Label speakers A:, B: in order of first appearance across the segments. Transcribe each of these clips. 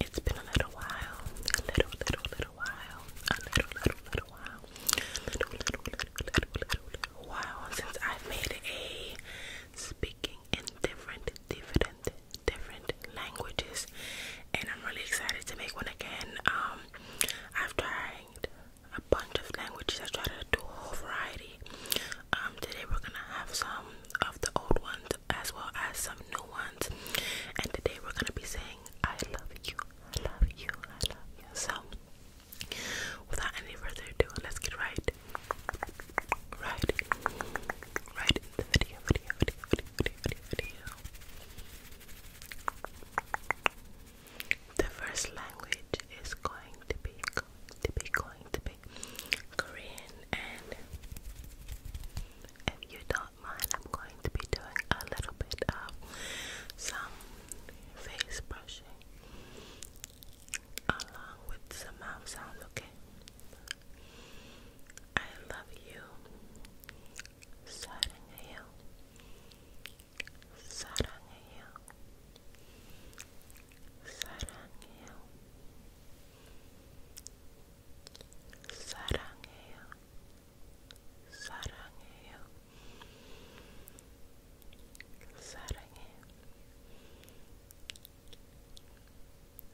A: It's been a little while, a little, little, little while, a little, little, little while, a little, little, little, little, while since I've made a speaking in different, different, different languages, and I'm really excited to make one again. Um, I've tried a bunch of languages. I tried to do a whole variety. Um, today we're gonna have some of the old ones as well as some new ones. And today we're gonna be saying, I love you, I love you, I love you. So without any further ado, let's get right right right into the video video video video video video. The first language is going to be going to be going to be Korean and if you don't mind, I'm going to be doing a little bit of some face brushing along with some mouth sounds, okay? I love you, starting you, starting 사랑해요. 사랑해요. 사랑해.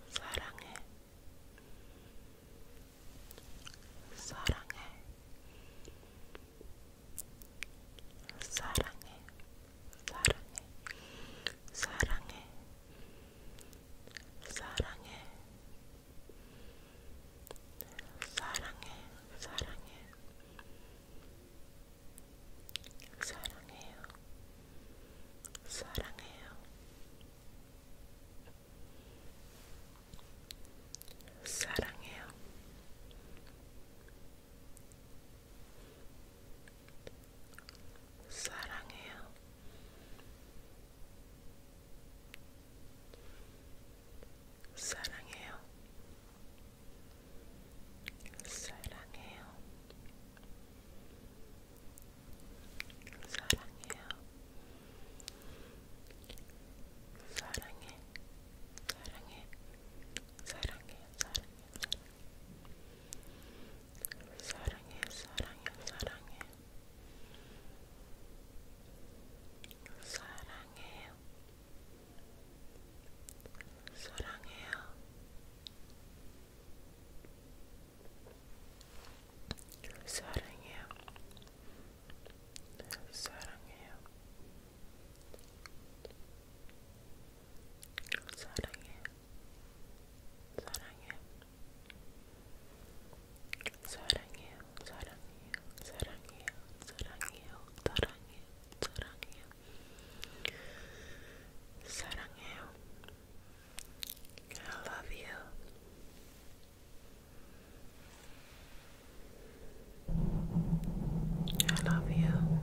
A: 사랑해. 사랑해. 사랑해. 사랑해. 사랑해. 사랑해. 사랑해, 사랑해, 사랑해, 사랑해요, 사랑해요, 사랑해요. 사랑해요. 사랑해요. 사랑해요. 사랑해요. 사랑해요. 사랑해. 사랑해. 사랑해. 사랑해. 사랑해. 사랑해. 사랑해. 사랑해. 사랑해요. 사랑해요. 사랑해요. 사랑해요. 사랑해요. 사랑해. 사랑해요, 사랑해요, 사랑해요, 사랑해요, 사랑해요, 사랑해요, 사랑해요. I love you. I love you. I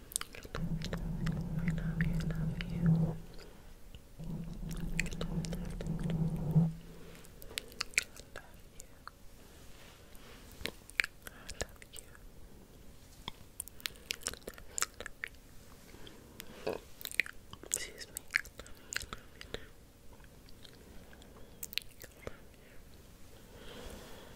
A: I love you, love love you. I love you. I love you. Excuse me. you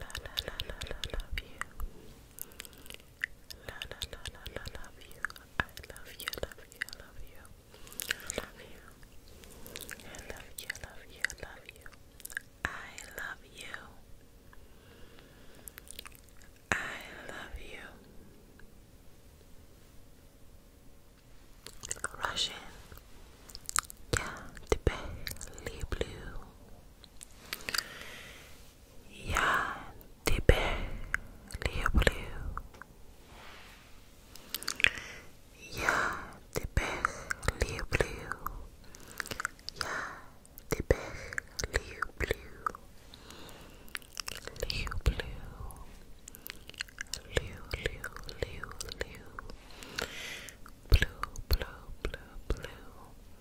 A: La la la la la love you. La la la la la love you. I love you, love you, love you. I love you. I love you, love you, love you. I love you. I love you. Russian. Я тебя люблю. Yeah, die blue. Ja, die er blue. Ja, die blue. Liu blue, liu liu liu liu, blue blue blue blue,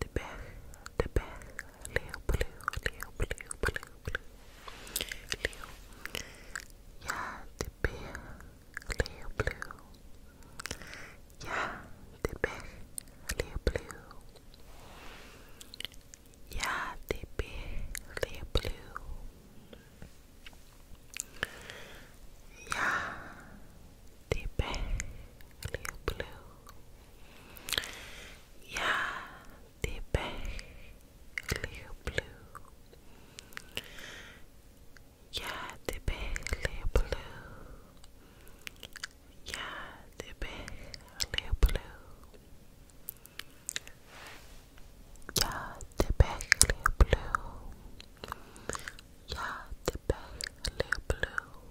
A: the back, the back, little blue, little blue, blue, blue, little. Yeah, the bear, little blue. Yeah, the bear, little blue. Yeah, the bear, little blue. Yeah, Deep blue. Ja, deep blue. Ja, deep blue. Ja, deep blue. Ja, de blue. Ja, de blue.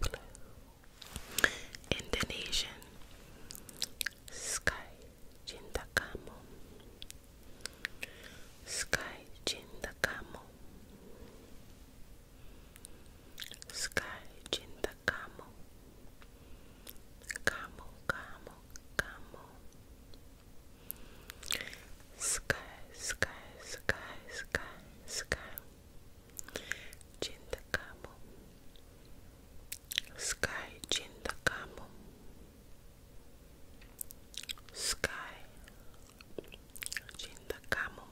A: blue. Indonesian Sky Cinta Kamu Sky Cinta Kamu Sky Cinta Kamu Kamu Kamu Kamu Sky Sky Sky Sky Sky Sky Chindakamu Sky Chindakamu Sky Chindakamu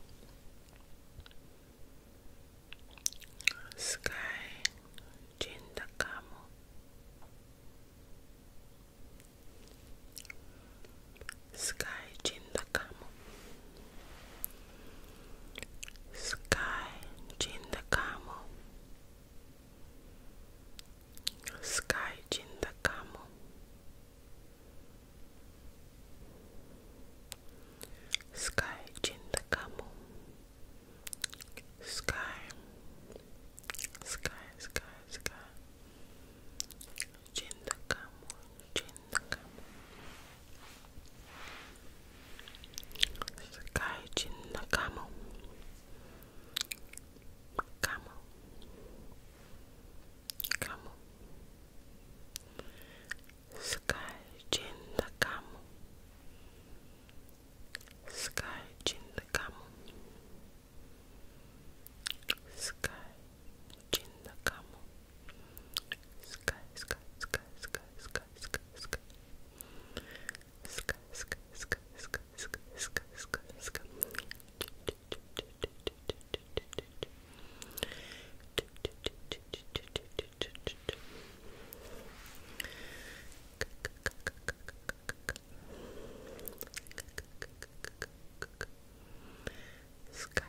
A: Sky Chindakamu Sky Chindakamu Jindakam Sky Jindakamo Sky Jindakamo Sky Sky Sky Sky Sky Chinda Kamu, Chinda Kamu. Sky Chinda Kamu. Kamu. Kamu. Sky Chinda Kamu. Sky Chinda Kamu. Sky Chinda Kamu sky, sky, sky, sky, sky, sky, sky, sky, sky, sky, sky, sky, sky, sky, sky. Sky,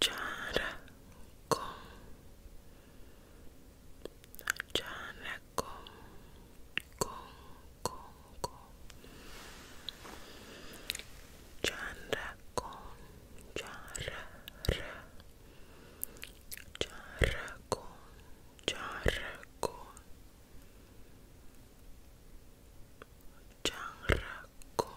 A: Jaraco Jaraco Go Go Go Jaraco Jara Jaraco Jaraco Jaraco Jaraco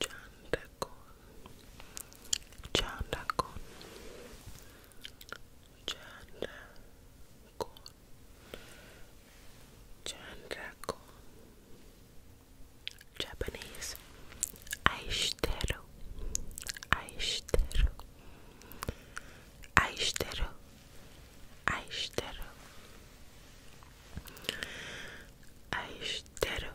A: Chandakon, Chandakon, Chandakon, Chandakon, Japanese, Aishiteru, Aishiteru, Aishiteru, Aishiteru. Aishiteru,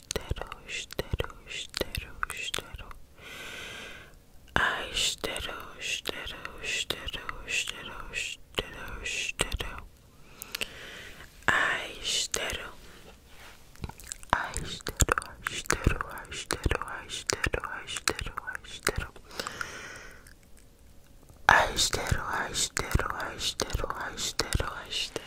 A: steru, steru, steru, steru. I steru, steru, steru, steru, steru, steru. I steru. I steru, I steru, I steru, I steru, I steru, I steru. I steru, I steru, I steru, I steru, I steru.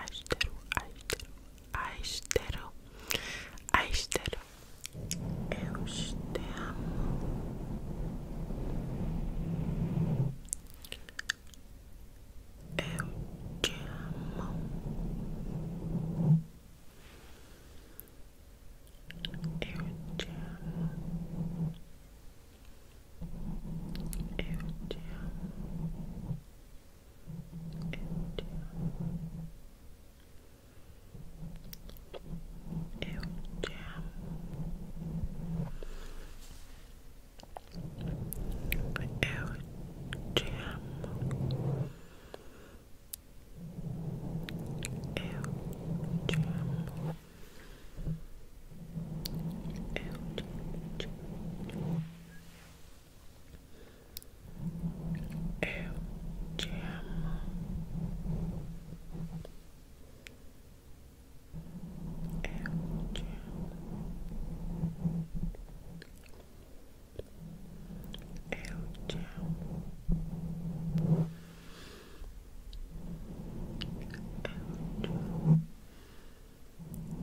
A: austero, austero, austero, austero. Eu te amo. Eu Eu te amo. Eu te amo. Eu te amo. Eu te amo te amo. Eu te amo. Eu te amo. Eu te Eu te amo. Eu El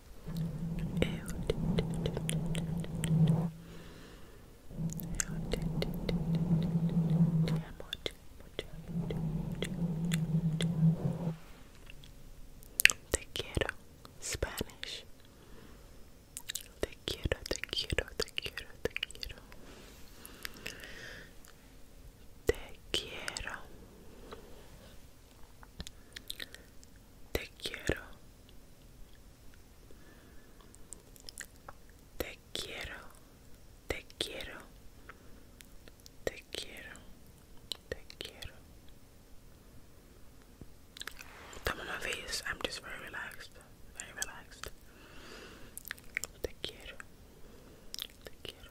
A: Te quiero, Spanish. Te quiero, te quiero, te quiero, te quiero. Te quiero. Te quiero. Te quiero. Te quiero. Te quiero. Te quiero. Te quiero. Thumb on my face. I'm just very relaxed. Very relaxed. Te quiero. Te quiero.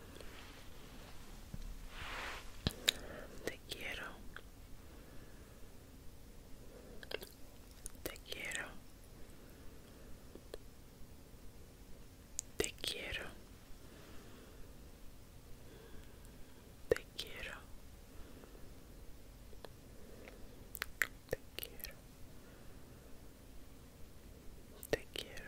A: Te quiero. Te quiero. Te quiero. Te quiero. Te quiero. Te quiero.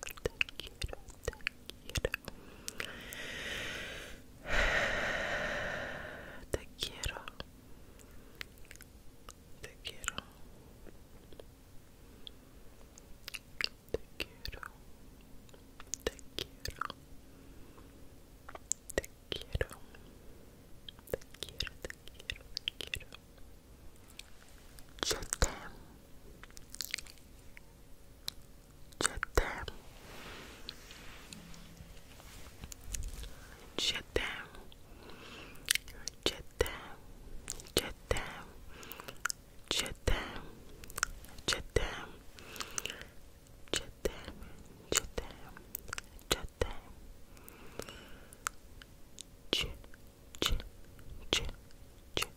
A: cute, so cute. Te quiero. Te quiero. Te quiero. Te quiero. Te quiero. Te quiero, te quiero, te quiero. Yo te Jeddah Jeddah Jeddah Jeddah Jeddah Jeddah Jeddah Jeddah Jeddah Jeddah Jeddah Jeddah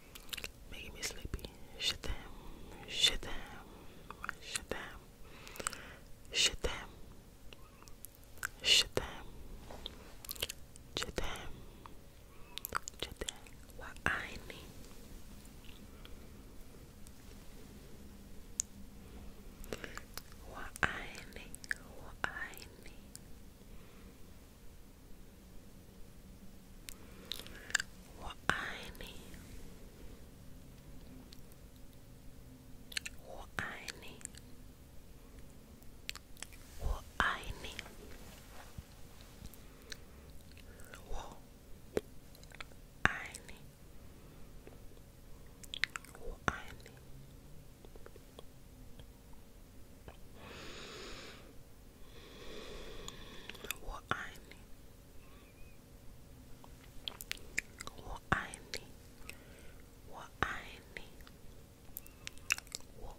A: making me sleepy. Shit them, shit them, shit them, shit them, shit them, shit them, shit them. What I need. What I need, what I need. 我爱你，我爱你，我爱你，我爱你，我爱你。我爱你，我爱你，我爱你，我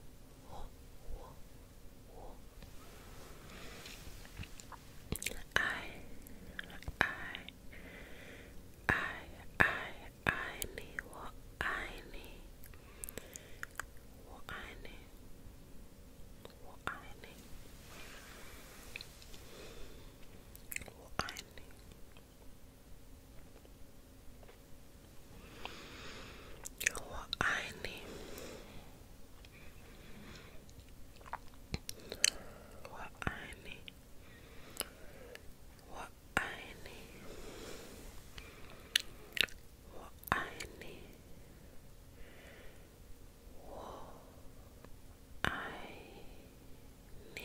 A: 我我我爱爱爱爱你，我爱你，我爱你。我爱你，我爱你，我爱你，我爱你，我爱你。我爱你，我爱你，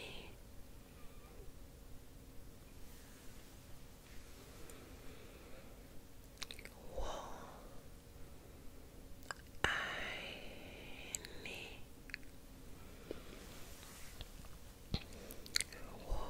A: 我爱你，我。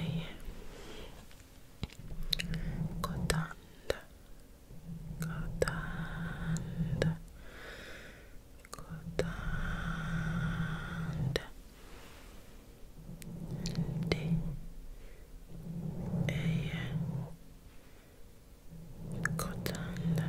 A: Eje Kotanda Kotanda Kotanda Di Eje Kotanda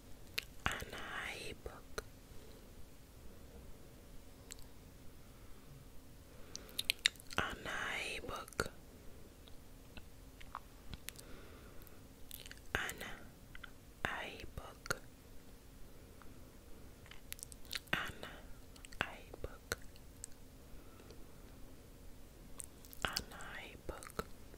A: Ana book. Anai book. Anna I Anna I Anna I book.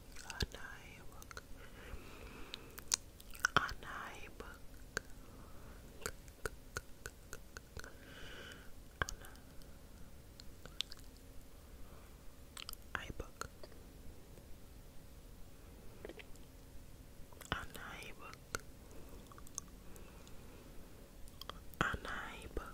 A: Anaybook. Anaybook. Anay iBook. Anaybook. Anaybook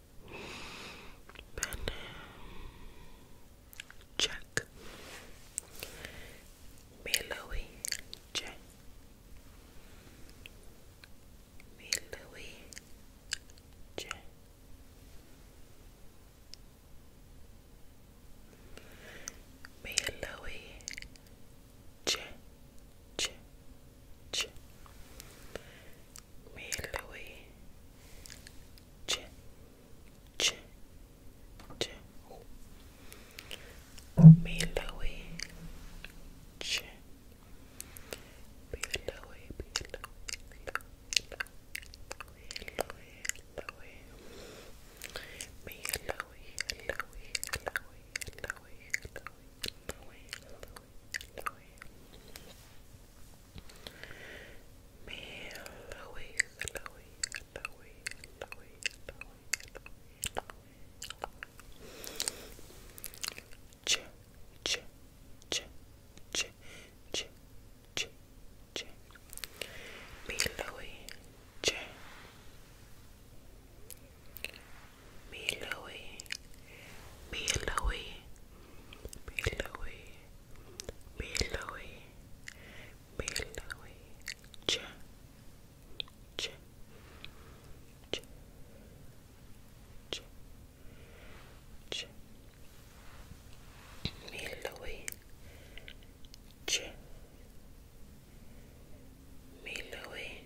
A: and Jack uh, Millowy Jack Millowy Jack Millowy Jack Ch Ch Mary Louis Ch Ch Ch Mary Louis Ch Mary Louis Mary Louis Mary Louis Louis Mary Louis Louis Louis Louis Louis Louis Louis Louis Louis me, Louie, Louie, Louie, Louie, Louie, Louie. Ch, ch, ch, ch, ch, ch, ch. Me, Louie, ch. Me, Louie, me, Louie. Billowy, billowy, billowy, ch, ch, ch, ch, ch, billowy, ch, billowy,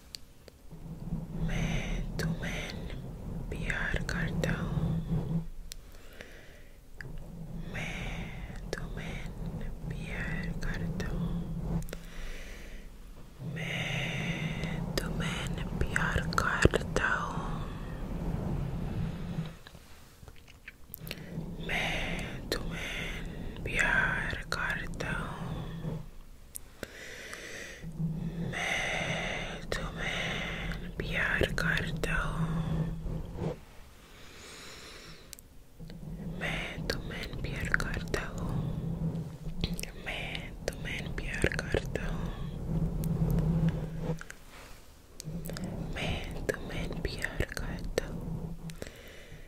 A: मैं तुम्हें प्यार करता हूँ मैं तुम्हें प्यार करता हूँ मैं तुम्हें प्यार करता हूँ मैं तुम्हें cambiar cartão me to man me to man piar cartão me to man piar cartão me to man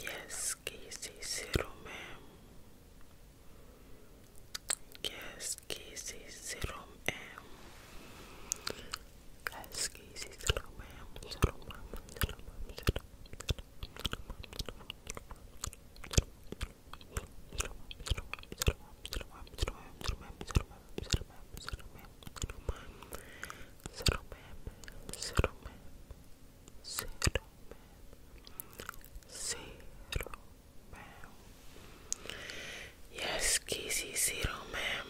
A: Yes, kisi siru em. Yes, kisi siru em. Yes, kisi siru em. Settle, ma'am. Settle, ma'am. Settle, ma'am. Settle, ma'am. Yes, Kizzy, zero ma'am.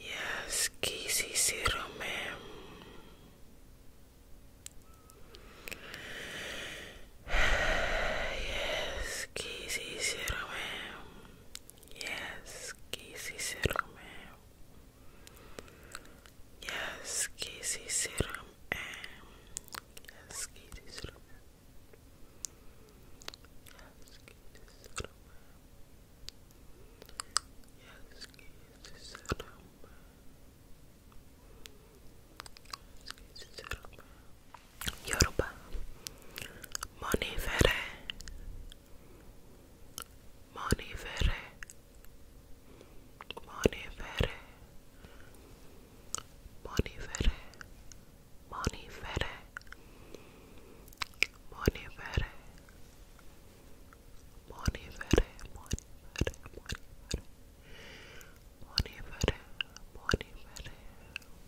A: Yes, Kizzy, zero ma'am. Yes, quisieronme. Yes, quisieronme. Yes, quisieronme. Yes, quisieronme. Yes, quisieronme. Yes, quisieronme. Yoruba Monifere Monifere Monifere Monifere Monifere Monifere Monifere Monifere Monifere Monifere Monifere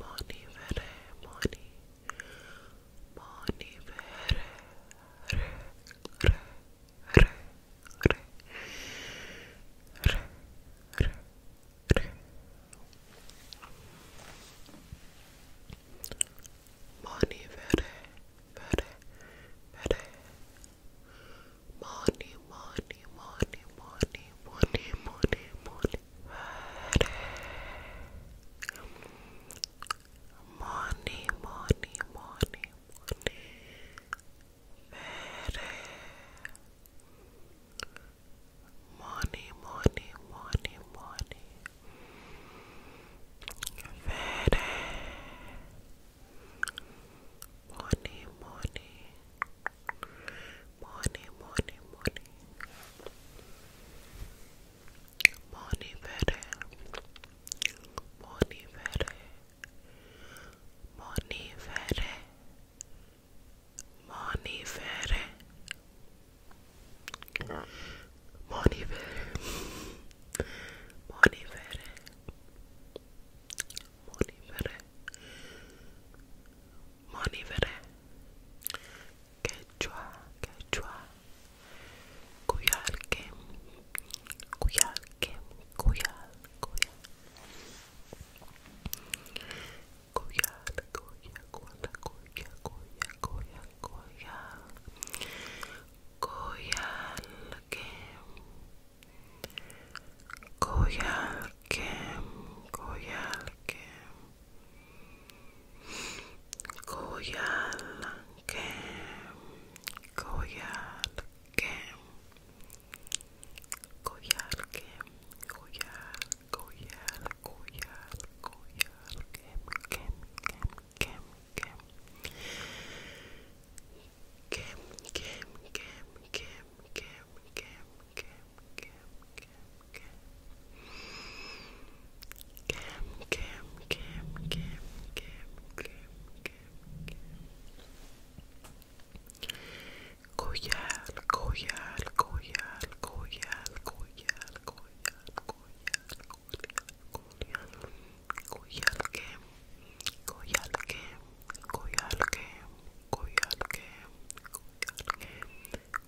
A: Moni vere, moni, moni vere, re, re, re, re, re, re, re. Moni vere, vere, vere. Money, money, money, money, money, money, money, money, money, money, money. Money, money, money, money. Money, money. Morning, morning, morning. Morning, better. Morning, better. Morning, better. Morning, better. Morning, better. Morning, better. Morning, better. Monivere, Quechua, Quechua, Cuyalque, Cuyalque, Cuyal, Cuyal, Cuyal, Cuyal, Cuyal, Cuyal, Cuyal, Cuyal, Cuyalque, Cuyal, Koyalkem, Koyalkem, Koyalkem, Koyalkem, Koyalkem, Koyal, Koyal, Koyal, Koyalkem, Kem, Kem, Kem, Kem, Kem, Kem, Kem, Kem, Kem. Cam, Cam, Cam, Cam, Cam, Cam, Cam, Cam, Cam, Cam, Cam, Collar, collar, collar, collar, collar, collar, collar, collar, collar, collar, collar, collar, collar, koyarke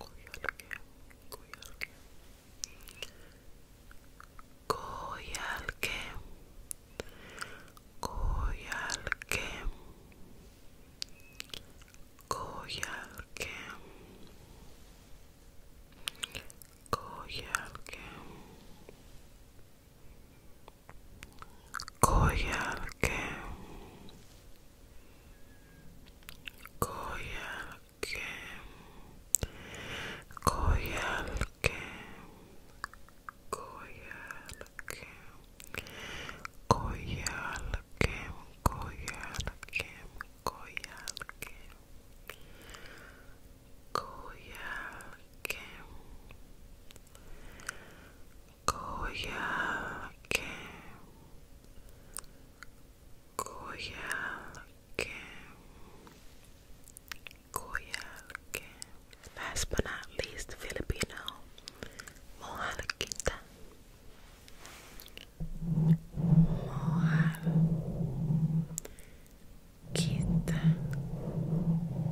A: koyarke koyarke koyarke koyarke koyarke koyarke koyarke koyarke Koyalkem, Koyalkem, Koyalkem, Koyalkem, Koyalkem, Koyalkem, Koyalkem, Kojelke. Kojelke. Kojelke. Last but not least, Filipino. Mohalakita. Mohal. Kita. Mohal.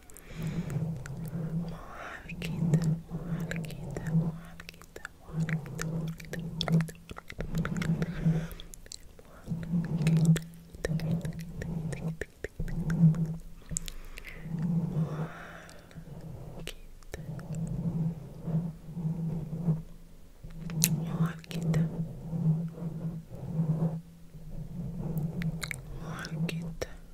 A: muhalkita, muhalkita, muhalkita, muhalkita, muhalkita, Muhalkita Muhalkita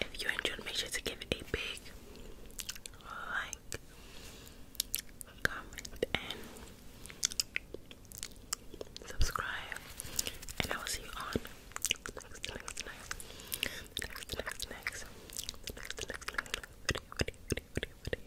A: If you enjoyed, make sure to give it a big like, comment, and subscribe. And I will see you on next, next, next, next, next, next, next, next, next, next video, video, video, video, video.